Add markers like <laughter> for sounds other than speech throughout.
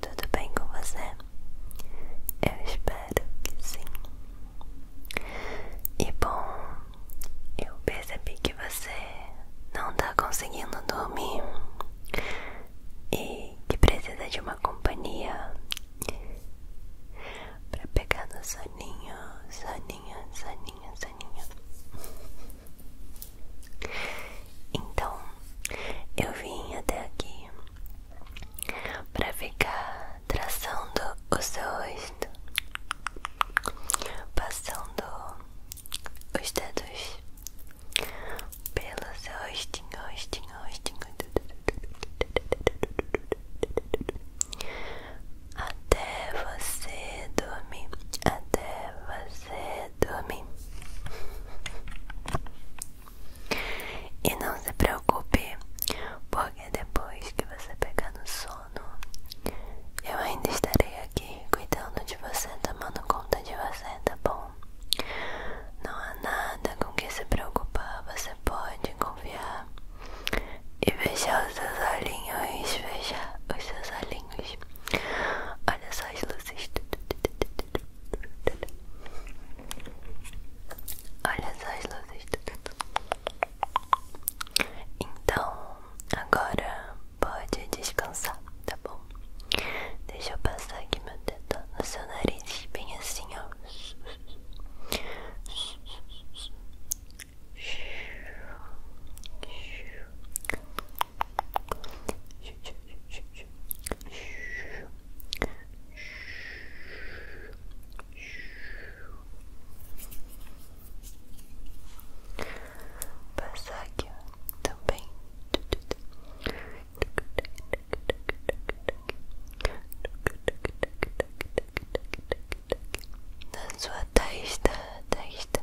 Tudo bem com você? Eu espero que sim. E bom, eu percebi que você não tá conseguindo dormir e que precisa de uma companhia para pegar no soninho, soninho, soninho, soninho. Então, eu vim até aqui para ficar traçando o seu rosto, passando os dedos pelo seu rostinho, rostinho, rostinho, até você dormir, até você dormir. E não se preocupe, porque depois que você pegar no sono, eu ainda estarei aqui cuidando de você, tomando conta de você, tá bom? Não há nada com que se preocupar, você pode confiar e fechar os seus olhinhos, fechar os seus olhinhos. Olha só as luzes. Olha só as luzes. Então, agora pode descansar, tá bom? Deixa eu passar aqui meu dedo no seu nariz, bem assim, ó. Passar aqui também. Na sua testa, testa.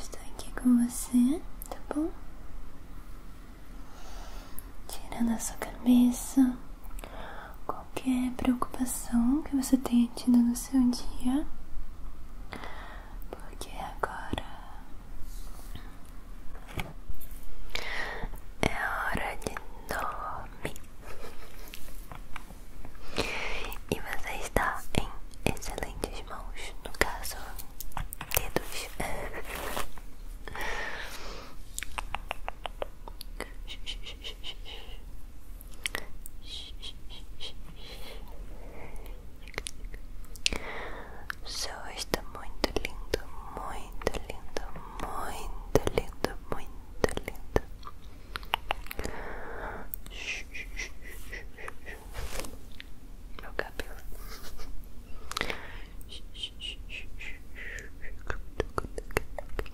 Estou aqui com você, tá bom? Tirando a sua cabeça, qualquer preocupação que você tenha tido no seu dia, porque agora é hora de dormir e você está em excelentes mãos no caso, dedos. <laughs> O seu rosto tá muito linda, muito linda, muito lindo, muito lindo. Meu cabelo.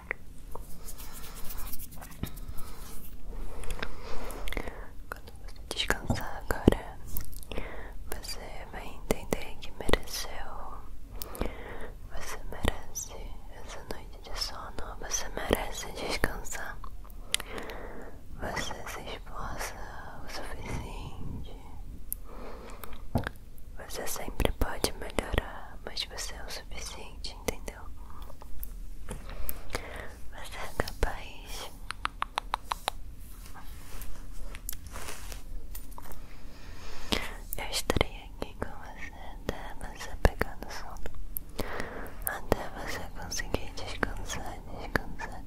Quando você descansar agora, você vai entender que mereceu. Você merece essa noite de sono. Você merece descansar. Você se esforça o suficiente. Você sempre pode melhorar, mas você é o suficiente, entendeu? Você é capaz. Eu estarei aqui com você até você pegar no sono. Até você conseguir descansar, descansar.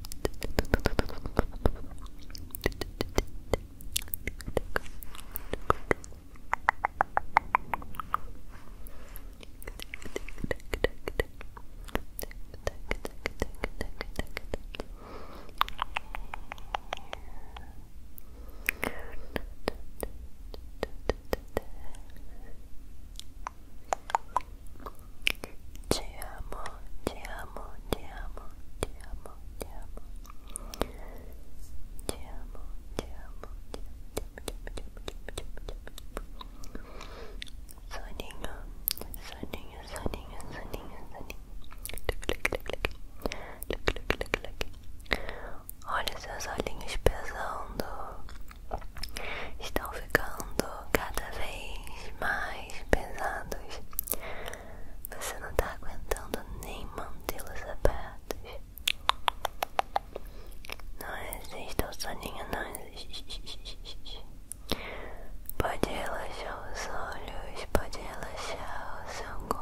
Ti amo, ti amo, ti amo, ti amo, ti amo. Te amo, te amo, te amo. Soninho, soninho, soninho, soninho, soninho. Olha seus olhinhos pesando. Estão ficando cada vez mais pesados. Você não tá aguentando nem mantê-los abertos. Não existe o soninho, não existe. Pode relaxar os olhos, pode relaxar o seu corpo.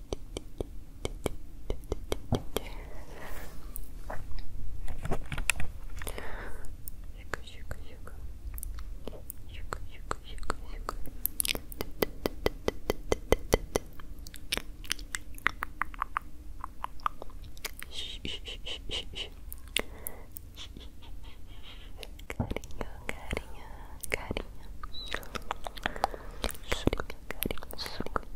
Carinho, carinho, carinho. Surinho, carinho, surinho.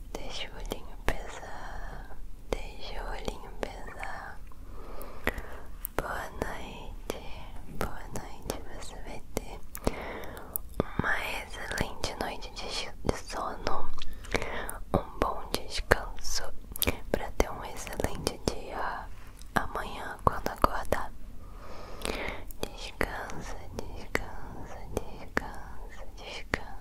Deixa o olhinho pesar, deixa o olhinho pesar. Boa noite, boa noite. Você vai ter uma excelente noite de sono, um bom descanso para ter um excelente dia amanhã quando acordar. Descansa, descansa, descansa, descansa.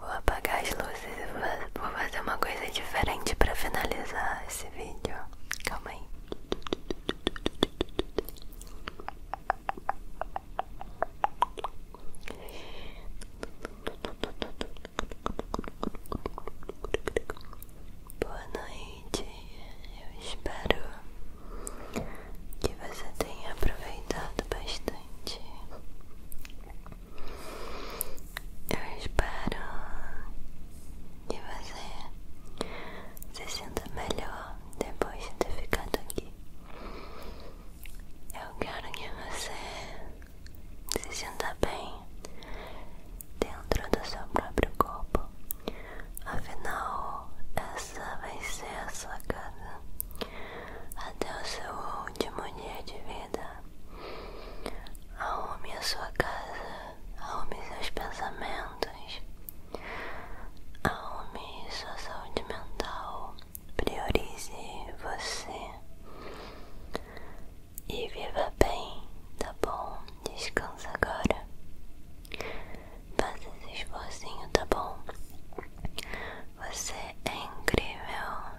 Vou apagar as vou fazer uma coisa diferente para finalizar esse vídeo. Calma aí. Boa noite. Eu espero que você tenha aproveitado bastante eu espero que você se sinta melhor depois de ter ficado aqui. Eu quero que você se sinta bem dentro do seu próprio corpo. Afinal, essa vai ser a sua casa até o seu último dia de vida vida. Arrume a sua casa, arrume seus pensamentos, arrume sua saúde mental, priorize você e viva bem, tá bom? Descansa agora. Faça esse esforcinho, tá bom? Você é incrível.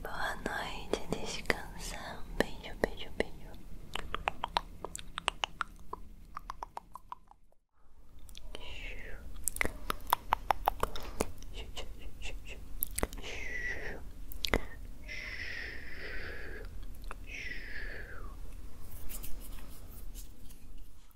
Boa noite, descansa. Um beijo, beijo, beijo.